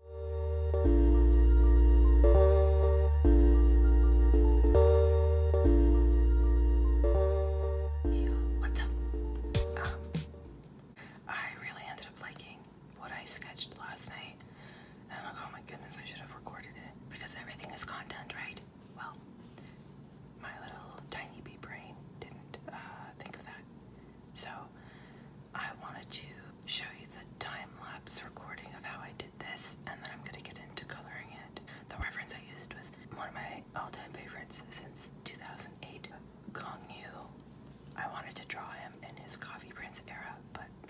What's up? Um, I really ended up liking what I sketched last night, and like, oh my goodness, I should have recorded it because everything is content, right? Well, my little tiny bee brain didn't uh, think of that, so I wanted to show you the time lapse recording of how I did this, and then I'm going to get into coloring it. The reference I used was one of my all time favorites since 2008, Gong Yu. I wanted to draw him in his coffee prince era, but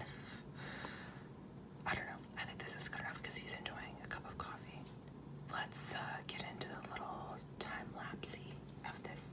I don't know. I think this is good enough because he's enjoying a cup of coffee. Let's uh, get into the little time lapse of this.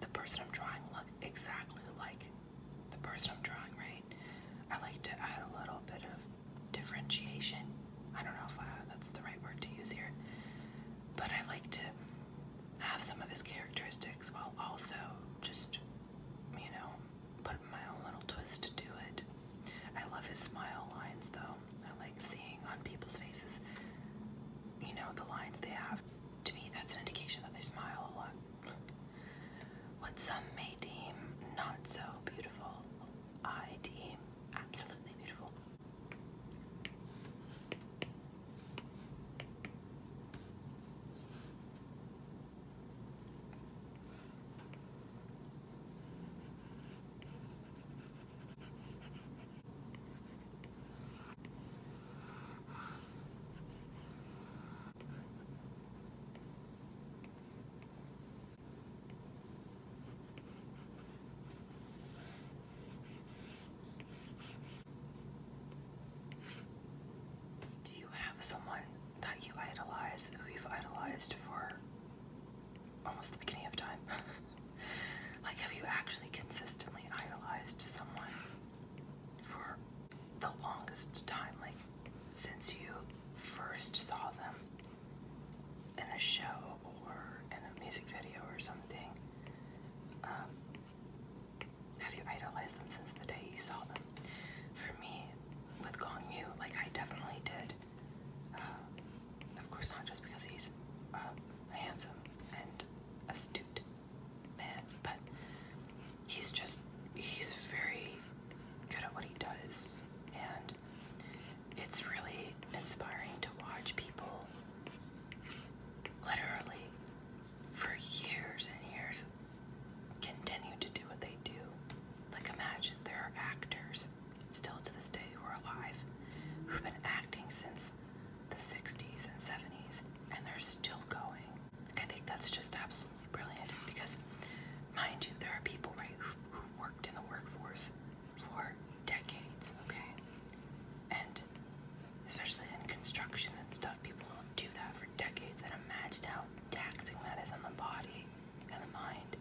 the person I'm drawing look exactly like the person I'm drawing, right? I like to add a little bit of differentiation. I don't know if uh, that's the right word to use here, but I like to have some of his characteristics while also just, you know, put my own little twist to it. I love his smile lines though. I like seeing on people's faces, you know, the lines they have. To me, that's an indication that they smile a lot. What some may deem not so beautiful, I deem absolutely beautiful. Do you have someone that you idolize who you've idolized for almost the beginning of time? like, have you actually consistently idolized someone for the longest time? Like, since you first saw them in a show or in a music video or something, um, have you idolized them since the day you saw them? For me, with Gong Yu, like, I definitely did. Uh, of course, not just because he's uh, handsome and astute, astute man, but he's just, he's very good at what he does, and it's really inspiring to watch people literally for years and years continue to do what they do. Like, imagine there are actors still to this day who are alive who've been acting since the 60s and 70s, and they're still going. Like, I think that's just absolutely brilliant because, mind you, there are people, right, who, who worked in the workforce for decades, okay? And especially in construction and stuff, people will do that for decades. And imagine how taxing that is on the body and the mind.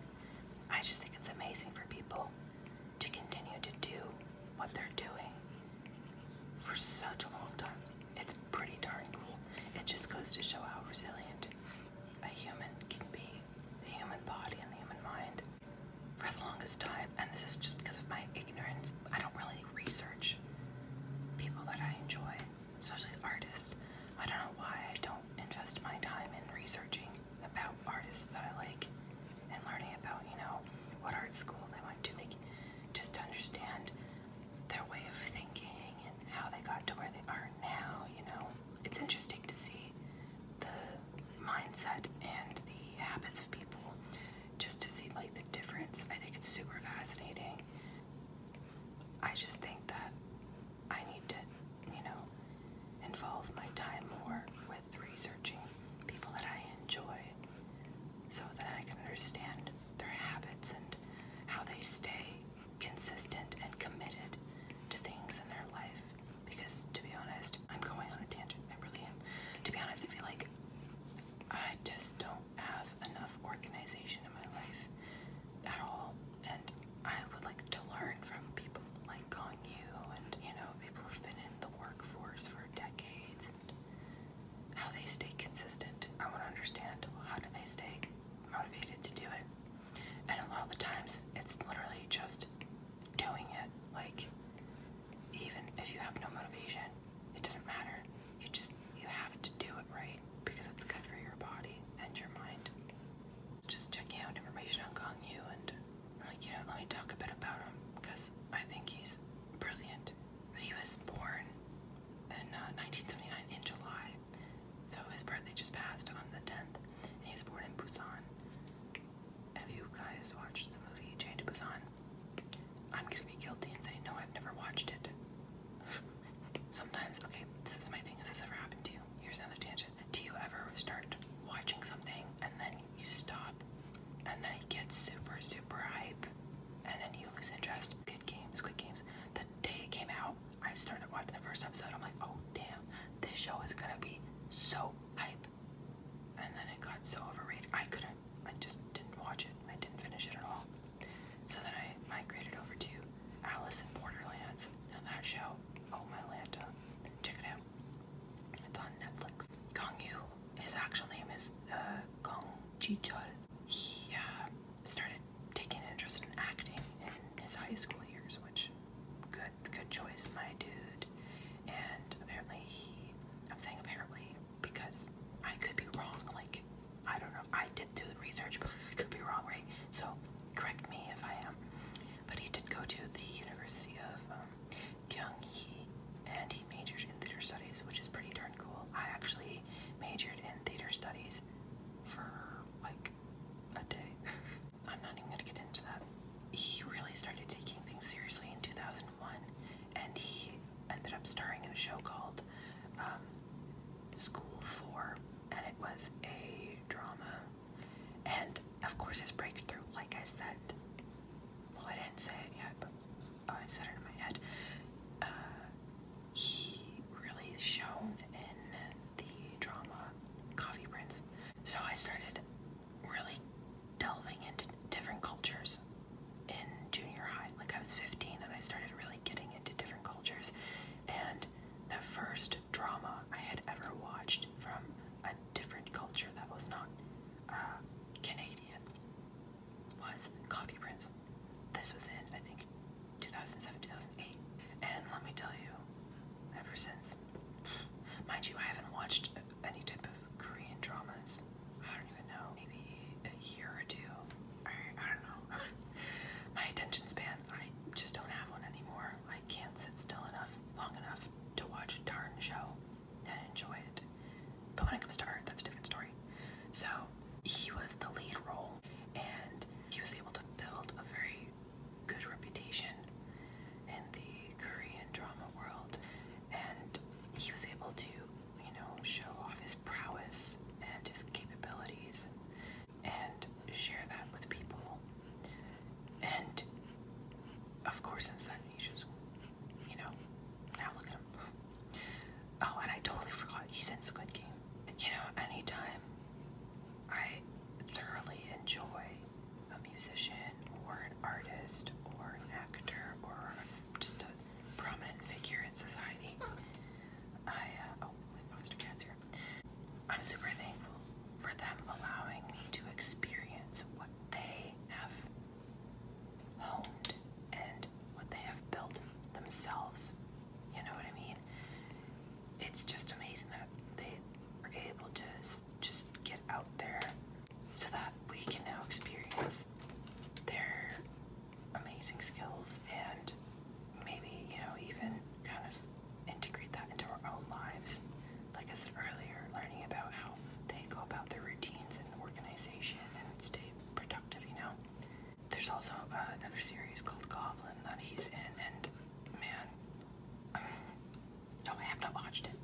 I just think it's amazing for people to continue to do what they're doing for such a long time. It's pretty darn cool. It just goes to show how resilient a human can be, the human body and the human mind. For the longest time, and this is just because of my ignorance, I don't really research people that I enjoy, especially artists. I don't know why I don't invest my time in researching about artists that I like and learning about, you know, what art school they went to, make, just to understand their way of thinking and how they got to where they are now, you know. It's interesting to see the mindset and the habits of people just to see like the difference. I think it's super fascinating. I just think that I need to, you know, involve my time more with researching people that I enjoy so that I can understand their habits and how they stay consistent and committed to things in their life. Because to be honest, I'm going on a tangent. I really am. To be honest, I feel like I just don't have enough organization in my life at all. And I would like to learn from people like like on you and you know people who've been in the workforce for decades and how they stay consistent. I want to understand how do they stay motivated to do it. And a lot of the times it's literally just doing it. Like even if you have no motivation, it doesn't matter. You just you have to do it right because it's good for your body and your mind. Just checking out information on Gong Yu and i like, you know, let me talk a bit about him because I think he's brilliant. He was born in 1979 uh, in July, so his birthday just passed on the 10th, he was born in Busan. Have you guys watched the movie Jane to Busan? I'm gonna be guilty and say no, I've never watched it. Sometimes, okay, this is my thing. Has this ever happened to you? Here's another tangent. Do you ever start watching something and then you stop, and then it gets super, super hype, and then you lose interest. Good games, good games. The day it came out, I started watching the first episode. I'm like, oh damn, this show is gonna be so hype. And then it got so overrated. I couldn't, I just didn't watch it. I didn't finish it at all. So then I migrated over to Alice in Borderlands. Now that show, oh my lanta, check it out. It's on Netflix. Gong Yu his actual name is uh, Gong Ji-chul. He uh, started taking interest in acting in his high school years, which good good choice, my dude. And apparently he, I'm saying apparently because I could be wrong. Like I don't know. I did do the research, but I could be wrong, right? So correct me if I am. But he did go to the University of um, Kyung Hee, and he majored in theater studies, which is pretty darn cool. I actually majored in theater studies for like a day. I'm not even gonna get into that. He really started taking things seriously in 2001, and he ended up starring in a show called um, School for, and it was a drama. And of course, his breakthrough, like I said, well, I didn't say it yet, but oh, I said it in my head. Uh, he really shone in the drama Coffee Prince. So I started really delving into different cultures in junior high. Like I was 15 and I started really getting into different cultures. And the first drama I had ever watched from a different culture that was not uh, Canadian was Coffee Prince. This was in, I think, 2007, 2008. And let me tell you, ever since, mind you, I haven't watched any type of Korean dramas. I don't even know, maybe a year or two. I, I don't know. My attention span, I just don't have one anymore. I can't sit still enough, long enough to watch a darn show and enjoy it. But when it comes to art, that's a different story. So he was the lead role, and he was able to build a very good reputation in the Korean drama world, and he was able to, you know, show off his prowess and his capabilities and share that with people. And of course, since that niche is you know, now look at him. Oh, and I totally forgot he's in Squid Game. You know, anytime I thoroughly enjoy a musician or an artist or an actor or just a prominent figure in society, I, uh, oh, my foster cat's here. I'm super thankful for them allowing me to experience what they have honed and what they have built themselves. You know what I mean? It's just amazing that they are able to just get out there so that we can now experience their amazing skills and maybe, you know, even kind of integrate that into our own lives like I said earlier, learning about how they go about their routines and organization and stay productive, you know. There's also uh, another series called Goblin that he's in, and man, no, um, I have not watched it.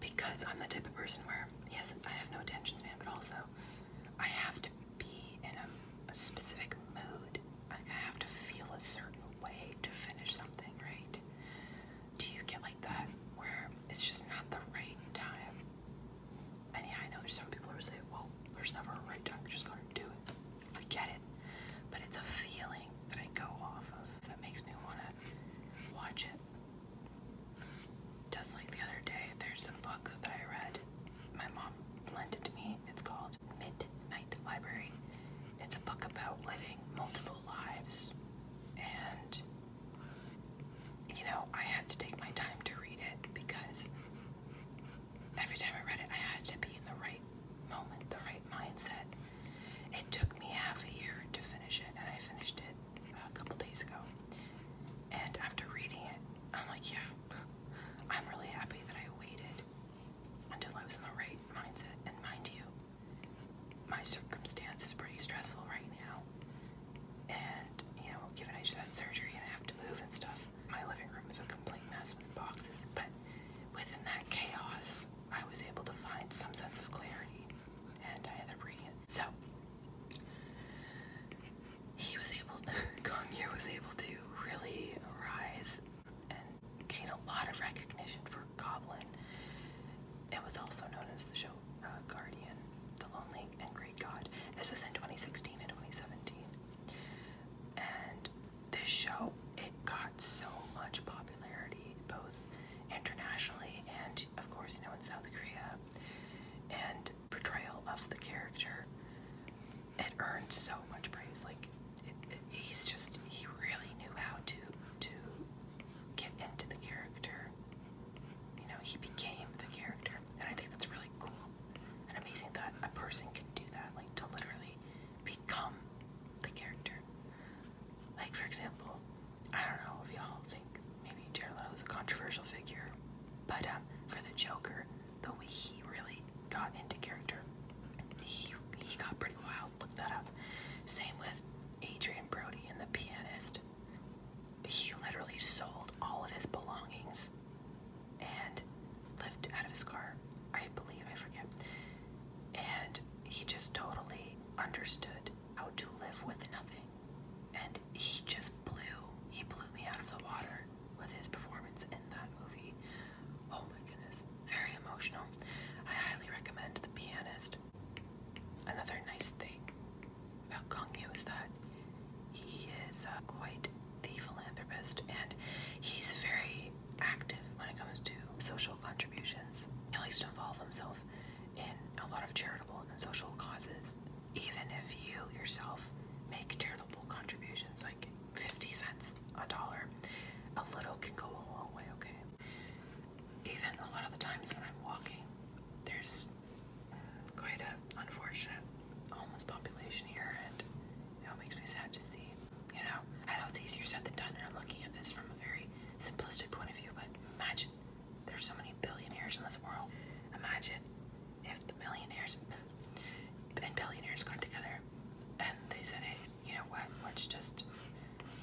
Because I'm the type of person where, yes, I have no attention span, but also I have to be in a, specific mood. I have to feel a certain way to finish something, right? do you get like that where it's just not the right time? And yeah, I know there's some people who say, well, there's never a right time, just gotta do it. I get it. But it's a feeling that I go off of that makes me wanna watch it. Just like the other day, there's a book that I read. My mom lent it to me. It's called Midnight Library. It's a book about living multiple lives. And, you know, I had to take my time to read it because every time I read it, I had to be in the right moment, the right mindset. It took me half a year to finish it, and I finished it about a couple days ago. And after reading it, I'm like, yeah, I'm really happy that I waited until I was in the right mindset. And mind you, my circumstance is pretty stressful right now. And, you know, given I just had surgery and I have to move and stuff, my living room is a complete mess with boxes. But within that chaos, I was able to find some sense of clarity and I had a reading So, he was able, Gong Yu was able to really rise and gained a lot of recognition for Goblin. It was also known as the show uh, Guardian, The Lonely and Great God. This was in 2016 and 2017. And this show, it got so much popularity, both internationally and, of course, you know, in South Korea. And portrayal of the character, it earned so much praise. Like, he's just, he really knew how to, to get into the character. You know, he became the character. And I think that's really cool and amazing that a person can do that, like to literally become the character. Like, for example, I don't know if y'all think maybe Jared Leto is a controversial figure, but um, for the Joker, the way he really got into character, he, he got pretty wild look that up. Same with Adrian Brody and the pianist. He literally sold all of his belongings and lived out of his car, I believe, I forget. And he just totally understood how to live with nothing. And he just blew, he blew me out of the water with his performance in that movie. Oh my goodness, very emotional. I highly recommend The Pianist. Another nice thing about Kongyu is that he is uh, quite the philanthropist and he's very active when it comes to social contributions. He likes to involve himself in a lot of charitable and social causes, even if you yourself make charitable contributions like 50 cents, a dollar. A little can go a long way, okay? even a lot of the times when I'm walking, there's quite a unfortunate homeless population here, and you know, it makes me sad to see. You know, I know it's easier said than done, and I'm looking at this from a very simplistic point of view, but imagine there's so many billionaires in this world. Imagine if the millionaires and billionaires got together and they said, hey, you know what, let's just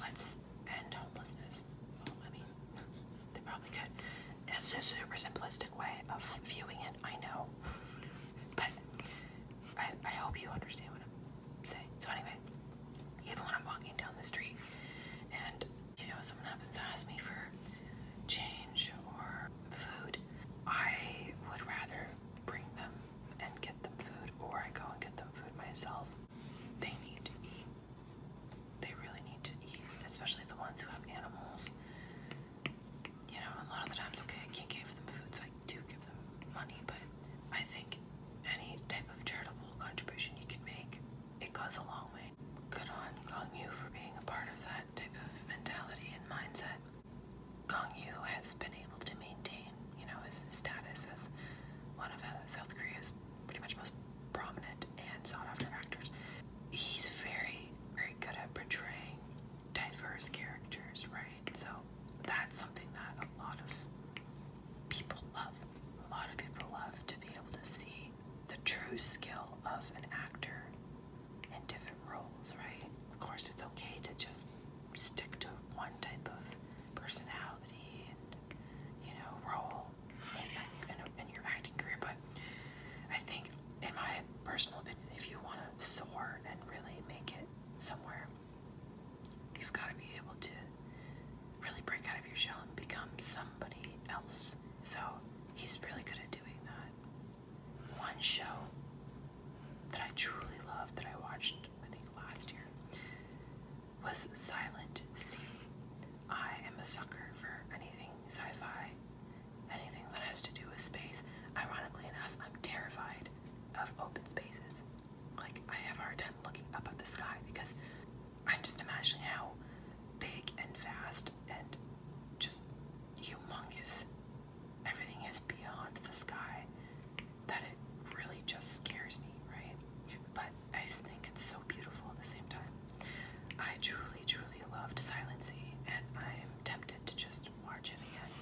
let's end homelessness. Well, I mean, they probably could. It's a super simplistic way of viewing it, I know. but I, I hope you understand what I'm saying. So, anyway, even when I'm walking down the street and, you know, someone happens to ask me for change or food, I would rather bring them and get them food or I go and get them food myself they need to eat. They really need to eat, especially the ones who have animals. You know, a lot of the times, I can't give them food, so I do give them money, but I think any type of charitable contribution you can make, it goes a long way. Good on Gong Yu for being a part of that type of mentality and mindset. Gong Yu has been able to maintain, you know, his status as one of uh, South Korea's pretty much most prominent and sought-after actors. He's very, very good at portraying diverse characters, right? So that's something that a lot of people love. A lot of people love to be able to see the true skill of an actor in different roles, right? Of course, it's okay to just stick to one type of personality you know, role in, your acting career. But I think, in my personal opinion, if you want to soar and really make it somewhere, you've got to be able to really break out of your shell and become somebody else. So he's really good at doing that. One show that I truly love that I watched, I think, last year was Silent I am a sucker for anything sci-fi, anything that has to do with space. Ironically enough, I'm terrified of open spaces. Like, I have a hard time looking up at the sky because I'm just imagining how big and vast and just humongous everything is beyond the sky that it really just scares me, right? But I think it's so beautiful at the same time. I truly, truly loved Silency, and I'm tempted to just watch it again.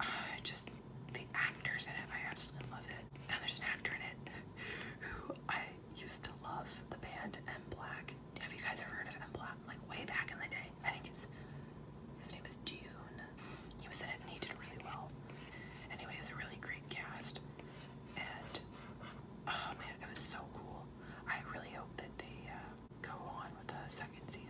I just, the actors in it, I absolutely love it. And there's an actor in it who I used to love, the band M Black. Have you guys ever heard of M Black? Like way back in the day. I think his name is Dune. He was in it and he did really well. Anyway, it was a really great cast, and oh man, it was so cool. I really hope that they uh, go on with the second season.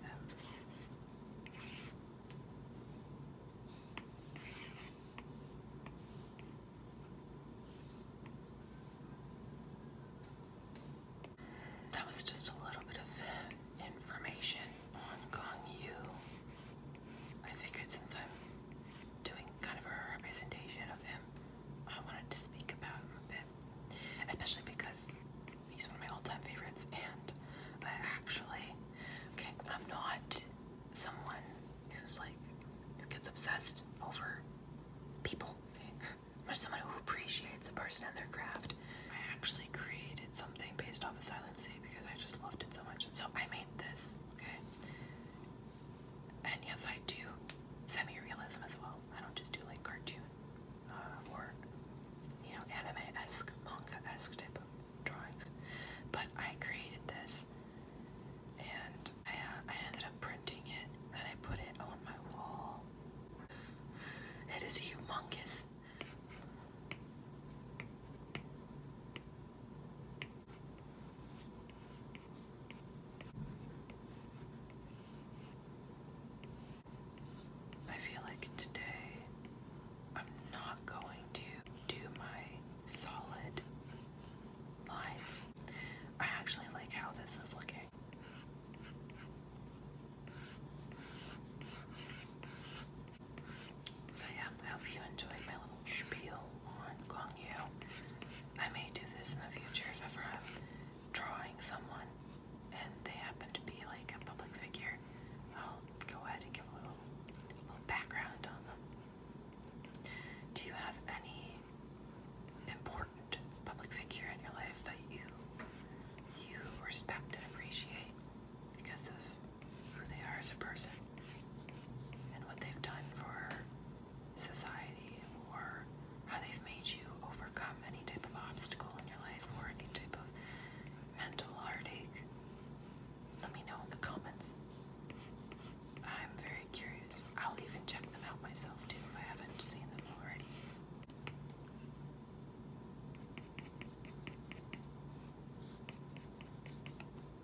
That was just a little bit of information on Gong Yu. I figured since I'm doing kind of a representation of him, I wanted to speak about him a bit. Especially because he's one of my all time favorites, and I actually, okay, I'm not someone who's like, who gets obsessed over people, okay? I'm someone who appreciates a person and their craft. I actually created something based off of Silent Sea because I just loved it so much. So I made this okay? And yes, I do semi-realism as well. I don't just do like cartoon uh, or, you know, anime-esque, manga-esque type of drawings. But I created this and I, uh, I ended up printing it and I put it on my wall. It is humongous. I feel like today I'm not going to do my solid lines. I actually like how this is looking. So yeah, I hope you enjoyed my little spiel on Gong Yu. I may do this in the future if ever i drawing someone and they happen to be like a public figure. I'll go ahead and give a little background on them. Do you have any important public figure in your life that you you respect and appreciate because of who they are as a person and what they've done for society or how they've made you overcome any type of obstacle in your life or any type of mental heartache. Let me know in the comments. I'm very curious. I'll even check them out myself too if I haven't seen them already.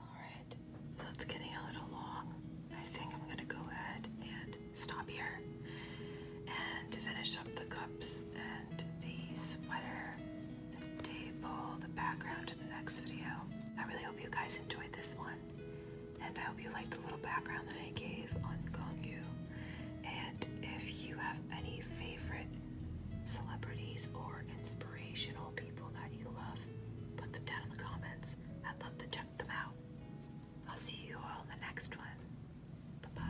Alright, so it's getting a little long. I think I'm gonna go ahead and stop here and finish up the cups and the sweater, the table, the background in the next video. I really hope you guys enjoyed this one. And I hope you liked the little background that I gave on Gongyu. And if you have any favorite celebrities or inspirational people that you love, put them down in the comments. I'd love to check them out. I'll see you all in the next one. bye